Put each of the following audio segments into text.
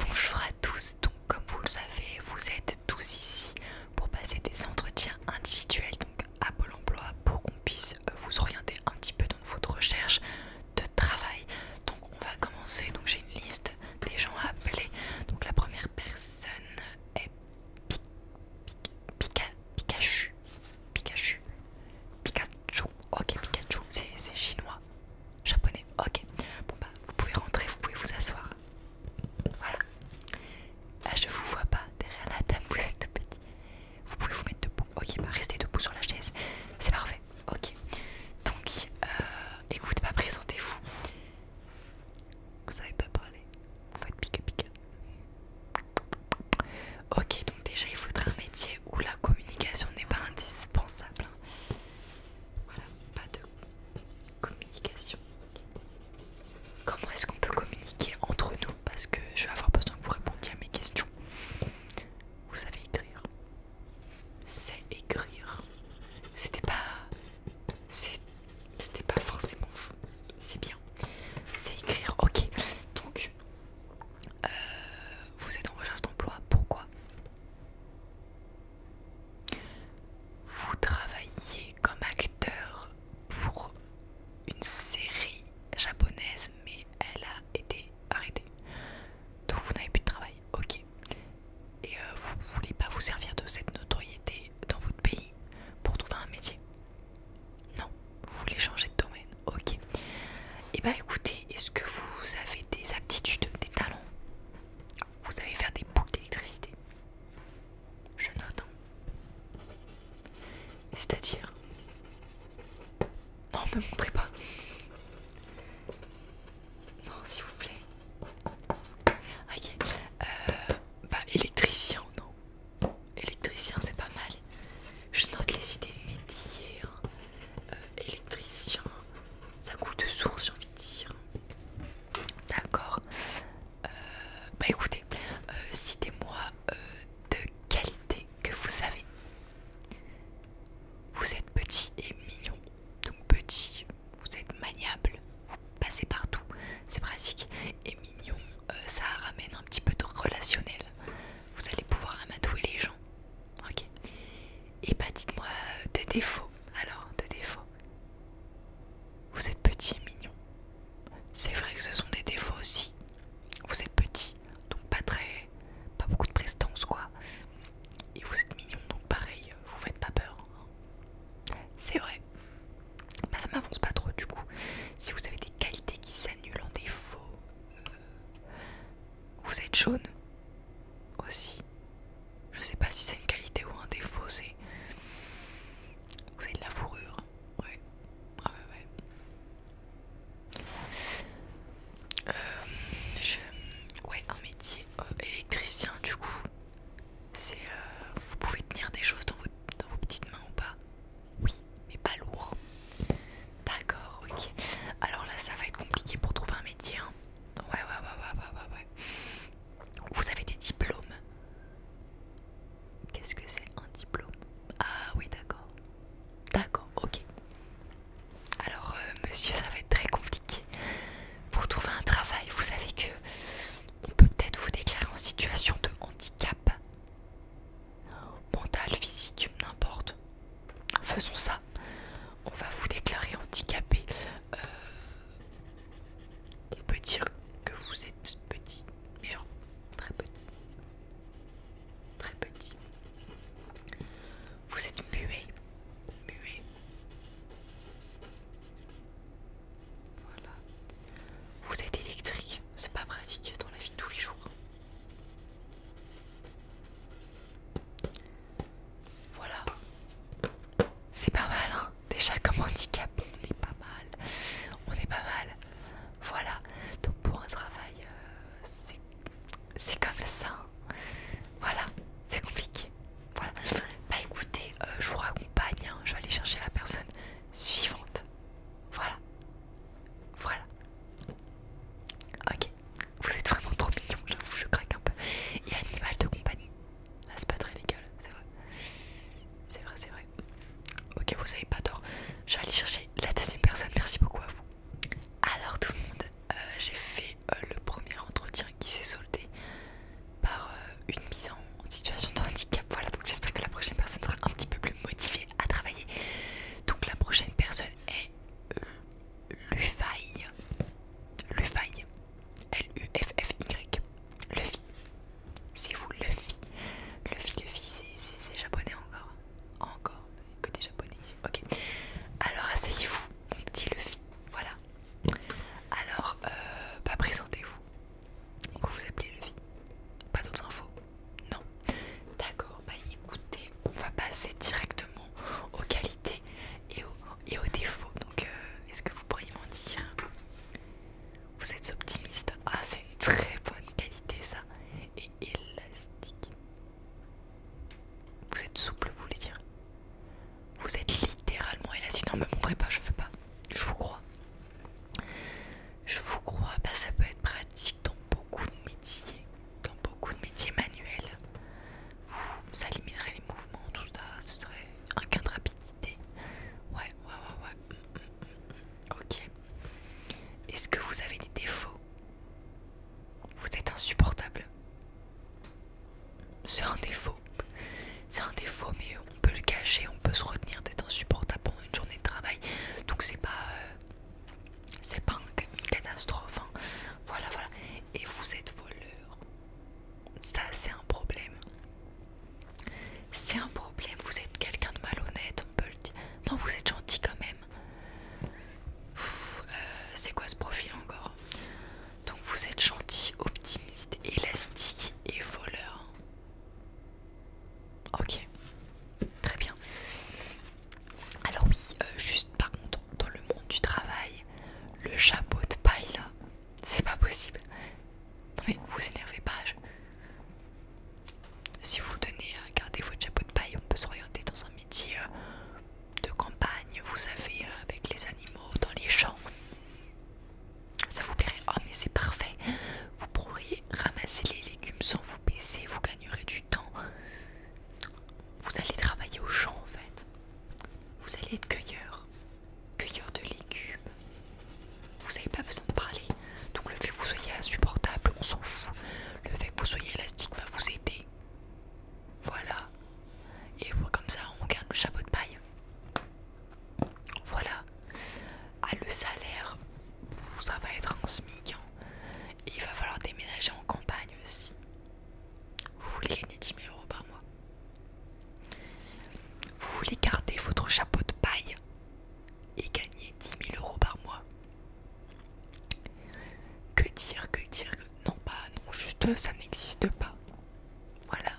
Bonjour à tous, donc comme vous le savez, vous êtes tous ici pour passer des entretiens individuels donc à Pôle emploi pour qu'on puisse euh, vous orienter un petit peu dans votre recherche de travail. Donc on va commencer, donc j'ai une liste des gens à appeler. Donc la première personne est Pikachu. Pikachu. Pikachu. Ok Pikachu, c'est chinois japonais. Ok, bon bah vous pouvez rentrer, vous pouvez vous asseoir. Voilà. Là je vous vois pas, derrière la table vous petit. Vous pouvez vous mettre debout. Ok, bah restez debout sur la chaise. C'est parfait. Ok. Donc écoutez, euh, écoute, bah présentez-vous. Vous savez pas parler. Vous faites pika pica. Ok, donc déjà il faudra un métier où la communication n'est pas indispensable. Hein. Voilà, pas de Communication. Comment est-ce qu'on peut communiquer entre nous Parce que je vais avoir besoin que vous répondiez à mes questions. Vous savez écrire. C'est écrire. C'était pas. C'était pas forcément. C'est bien. C'est écrire, ok. Donc, euh, vous êtes en recherche d'emploi. Pourquoi vous travaillez comme acteur pour une série japonaise, mais elle a été arrêtée. Donc vous n'avez plus de travail, ok. Et euh, vous ne voulez pas vous servir de cette notoriété dans votre pays pour trouver un métier Non, vous voulez changer de domaine, ok. Et eh bah ben, écoutez, est-ce que vous avez des aptitudes, des talents vous allez faire des boucles d'électricité. Je note. Hein. C'est-à-dire... Non, me montrez pas. Non, s'il vous plaît. Ok. Euh, bah, électricien, non. Électricien, c'est pas mal. Je note les idées de métier. Hein. Euh, électricien, ça coûte de source, j'ai envie hein. de dire. D'accord. Euh, bah écoutez, euh, citez-moi euh, de qualité que vous savez, Vous êtes petit et mignon. Donc petit, vous êtes maniable, vous passez partout, c'est pratique. Et mignon, ça ramène un petit peu de relationnel. Vous allez pouvoir amadouer les gens. Ok. Et bah dites-moi euh, de défauts. Alors, de défauts. Vous êtes petit et mignon. C'est vrai que ce sont des défauts aussi. Vous êtes petit, donc pas très... Pas beaucoup de prestance quoi. Et vous êtes mignon, donc pareil, euh, vous faites pas peur. Hein. C'est vrai. Bah ça m'avance pas trop du coup. Si vous avez des qualités qui s'annulent en défaut, euh, vous êtes jaune aussi. Je sais pas si c'est une qualité ou un défaut, c'est. Vous avez de la fourrure. Ouais. Ah ouais, ouais. Euh, je... Ouais, un métier euh, électricien, du coup. C'est. Euh, vous pouvez tenir des choses dans vos, dans vos petites mains ou pas Oui, mais pas lourd. D'accord, ok. Alors là, ça va être compliqué pour trouver un métier. Hein. Ouais, ouais, ouais, ouais, ouais, ouais. Vous avez des diplômes Qu'est-ce que c'est un diplôme Ah oui, d'accord. D'accord, ok. Alors, euh, monsieur, ça va être très compliqué. Pour trouver un travail, vous savez que on peut peut-être vous déclarer en situation de handicap. Mental, physique, n'importe. Faisons ça on va vous déclarer handicapé. Euh, on peut dire que vous êtes petit, mais genre très petit. Très petit. Vous êtes muet. Muet. Voilà. Vous êtes électrique. C'est pas pratique dans la vie de tous les jours. Voilà. C'est pas mal, hein. Déjà, comme handicap, on est pas mal. On est pas mal. Voilà. Donc, pour un travail, euh, c'est comme ça. Hein. Voilà. C'est compliqué. Voilà. Bah, écoutez, euh, je vous raccompagne. Hein. Je vais aller chercher la personne suivante. Voilà. Voilà. Ok. Vous êtes vraiment trop mignon, j'avoue, je craque un peu. Et animal de compagnie. Ah, c'est pas très légal, c'est vrai. C'est vrai, c'est vrai. Ok, vous avez pas tort. Je vais aller chercher la deuxième personne, merci beaucoup à vous. Alors tout le monde, euh, j'ai fait euh, le premier entretien qui s'est soldé par euh, une mise en situation de handicap. Voilà, donc j'espère que la prochaine personne sera un petit peu plus motivée à travailler. Donc la prochaine personne est Lufay. Lufay. L-U-F-F-Y. Luffy. C'est vous, Luffy. Luffy, Luffy, c'est japonais encore. Encore, que des japonais Ok. Alors, asseyez-vous, mon petit Luffy. Voilà. Alors, euh, bah, présentez-vous. Vous vous appelez Luffy. Pas d'autres infos Non. D'accord, bah écoutez, on va passer directement aux qualités et aux et au défaut. Donc, euh, est-ce que vous pourriez m'en dire Vous êtes optimiste. Ah, c'est une très bonne qualité ça. Et élastique. Vous êtes souple, vous voulez dire Vous êtes littéralement élastique. Non, me montrez pas, je veux pas. Je vous crois. Je vous crois, bah, ça peut être pratique dans beaucoup de métiers, dans beaucoup de métiers manuels ça limiterait les mouvements, tout ça, ce serait un gain de rapidité. Ouais, ouais, ouais, ouais. Mm, mm, mm, ok. Est-ce que vous avez des défauts Vous êtes insupportable. C'est un défaut. C'est un défaut, mais on peut le cacher, on peut se retenir d'être insupportable pendant une journée de travail. Donc c'est pas, euh, c'est pas une catastrophe. Hein. Voilà, voilà et vous êtes voleur. Ça, c'est un problème. C'est un problème. Vous êtes quelqu'un de malhonnête, on peut le dire. Non, vous êtes gentil quand même. Euh, c'est quoi ce profil encore Donc, vous êtes gentil, optimiste, élastique et voleur. Ok, très bien. Alors oui, euh, juste par contre, dans le monde du travail, le chapeau de paille là, c'est pas possible. mais vous énervez pas. Si vous donnez à garder votre chapeau de paille, on peut s'orienter dans un métier euh, de campagne, vous savez, euh, avec les animaux, dans les champs. Ça vous plairait Oh mais c'est parfait Vous pourriez ramasser les légumes sans vous baisser, vous gagnerez du temps. Vous allez travailler aux champs en fait. Vous allez être cueilleur, cueilleur de légumes. Vous n'avez pas besoin de parler. Donc le fait que vous soyez insupportable, on s'en fout. Le fait que vous soyez élastique va vous aider. Voilà. Et comme ça, on garde le chapeau de paille. Voilà. Ah, le salaire, ça va être un SMIC. Hein. il va falloir déménager en campagne aussi. Vous voulez gagner 10 000 euros par mois vous voulez garder votre chapeau de paille et gagner 10 000 euros par mois. Que dire, que dire, non, pas, non, juste ça n'existe pas. Voilà.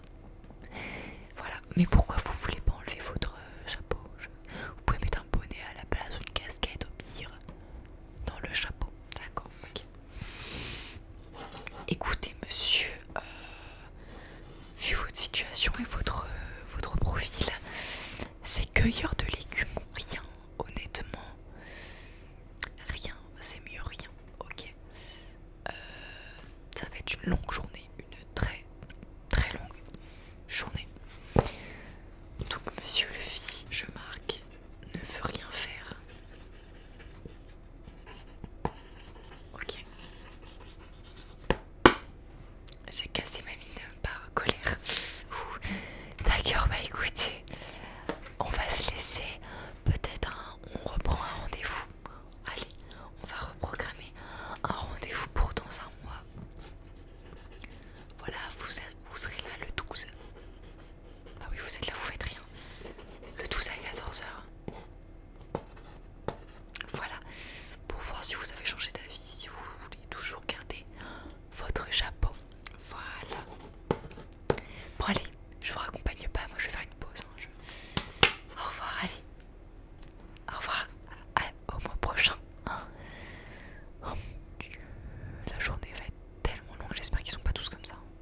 Voilà, mais pourquoi vous voulez pas enlever votre euh, chapeau Vous pouvez mettre un bonnet à la place, une casquette au pire, dans le chapeau. D'accord, ok. Écoutez, monsieur, euh, vu votre situation et votre, profil, c'est cueilleur de légumes, rien, honnêtement. Rien, c'est mieux rien, ok. Euh, ça va être une longue journée, une très très longue journée. Donc, monsieur fit, je marque, ne veut rien faire. Ok. J'ai cassé ma mine par colère. D'accord, bah écoutez, on va se laisser. Peut-être on reprend un rendez-vous. Allez, on va reprogrammer un rendez-vous pour dans un mois. Voilà, vous, vous serez là le 12. Ah oui, vous êtes là, vous faites rien. Le tout à 14h. Voilà, pour voir si vous avez changé d'avis, si vous voulez toujours garder votre chapeau. Voilà. Bon allez, je vous raccompagne pas, moi je vais faire une pause. Hein, au revoir, allez. Au revoir, au mois prochain. Oh mon dieu, la journée va être tellement longue, j'espère qu'ils sont pas tous comme ça. Hein.